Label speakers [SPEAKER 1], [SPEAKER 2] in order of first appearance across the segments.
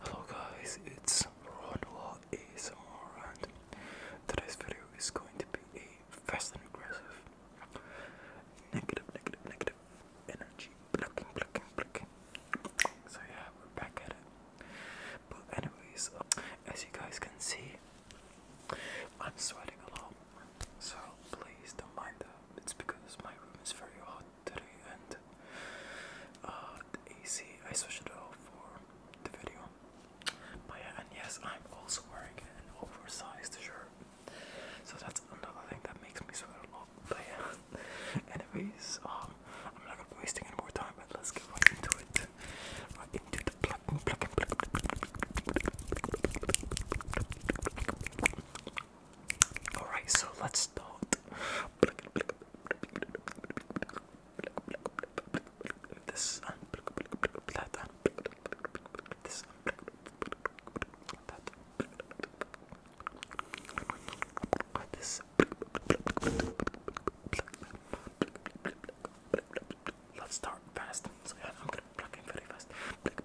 [SPEAKER 1] Hello guys, it's Ronwa ASMR and today's video is going to be a fast and aggressive negative, negative, negative energy blocking, blocking, blocking. So yeah, we're back at it. But anyways, as you guys can see, I'm sweating a lot, so please don't mind that. It's because my room is very hot today, and the uh, AC I switched it off for the video. But yeah, and yes, I'm also wearing an oversized shirt, so that's another thing that makes me sweat a lot. But yeah, anyways, um, I'm not gonna be wasting any more time, but let's get right into it right into the plug and plug and plug. All right, so let's start. This uh, that, that. This uh, that. This. Uh, let's start fast. I'm gonna plug in very fast. Let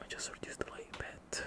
[SPEAKER 1] me just reduce the light a bit.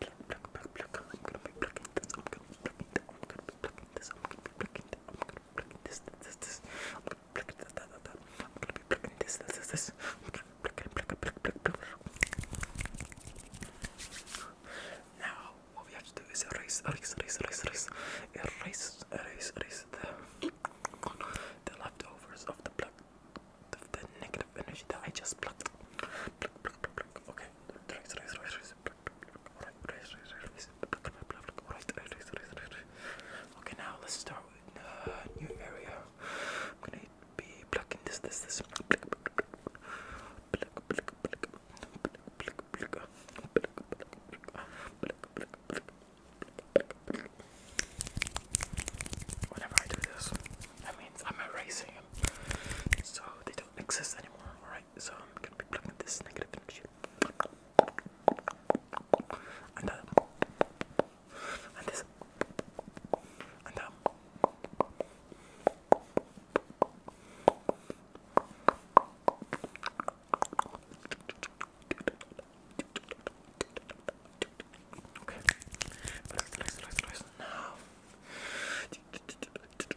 [SPEAKER 1] pluck, pluck, pluck. I'm gonna be plucking this. I'm gonna be plucking that. I'm gonna be plucking this. I'm gonna be plucking that. I'm gonna be plucking this. This. This. I'm gonna be plucking that. That. That. I'm gonna be plucking this. This. This. This. I'm gonna be plucking, pluck, pluck, pluck, pluck. Now, what we have to do is erase, erase, erase, erase, erase, erase, erase, erase the, the leftovers of the pluck, of the negative energy that I just plucked. Pluck, pluck, pluck, pluck. Okay. now let's start with a new area. Whenever I do this, that means I'm erasing so they don't exist anymore. Alright, so I'm gonna be plugging this negative energy. And that, uh, and this, and um, that.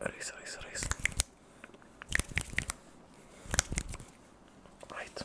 [SPEAKER 1] Race, race, race. Right.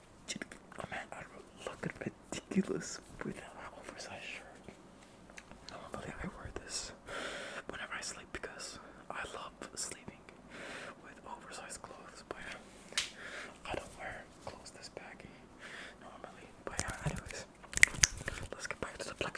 [SPEAKER 1] Oh man, I look ridiculous with an oversized shirt. I don't believe I wear this whenever I sleep because I love sleeping with oversized clothes, but I don't wear clothes this baggy normally. But yeah, anyways, let's get back to the plug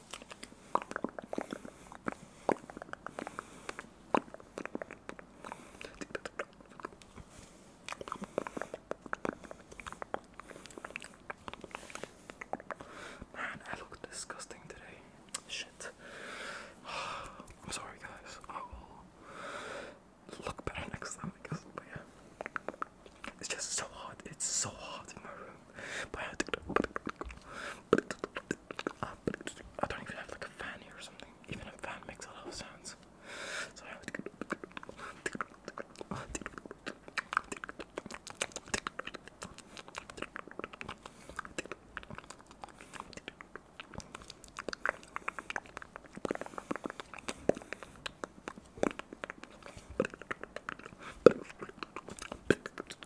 [SPEAKER 1] Man, I look disgusting today. Shit. I'm sorry, guys. I will look better next time, But yeah, it's just so hot. It's so hot in my room. I don't even have like a fan here or something. Even a fan makes a lot of sounds.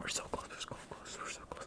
[SPEAKER 1] We're so close, we're so close, we're so close.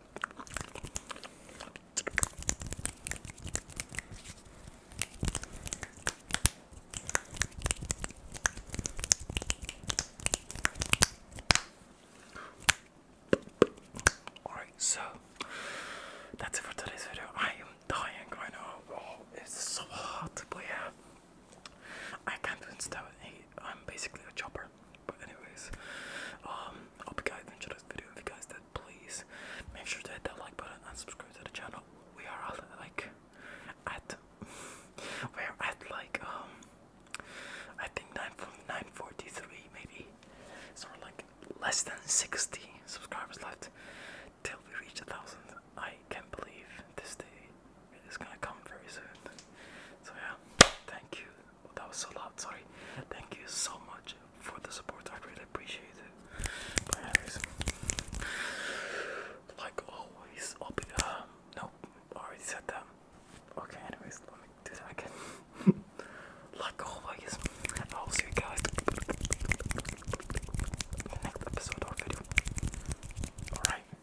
[SPEAKER 1] Alright, so that's it for today's video. I am dying right now. Oh, it's so hot, but I can't even stop it. I'm basically a chopper. But anyways, um, I hope you guys enjoyed this video. If you guys did, please make sure to hit that like button and subscribe to the channel. We are all like at we're at like um I think nine from nine forty three maybe. So we're like less than sixty subscribers left till we reach a thousand. I can't believe this day is gonna come very soon. So yeah, thank you that was so loud. Sorry. Thank you so much for the support. I really appreciate it. like always, I'll be. Uh, nope. Already said that. Okay. Anyways, let me do that again. like always, I'll see you guys in the next episode or video. All right.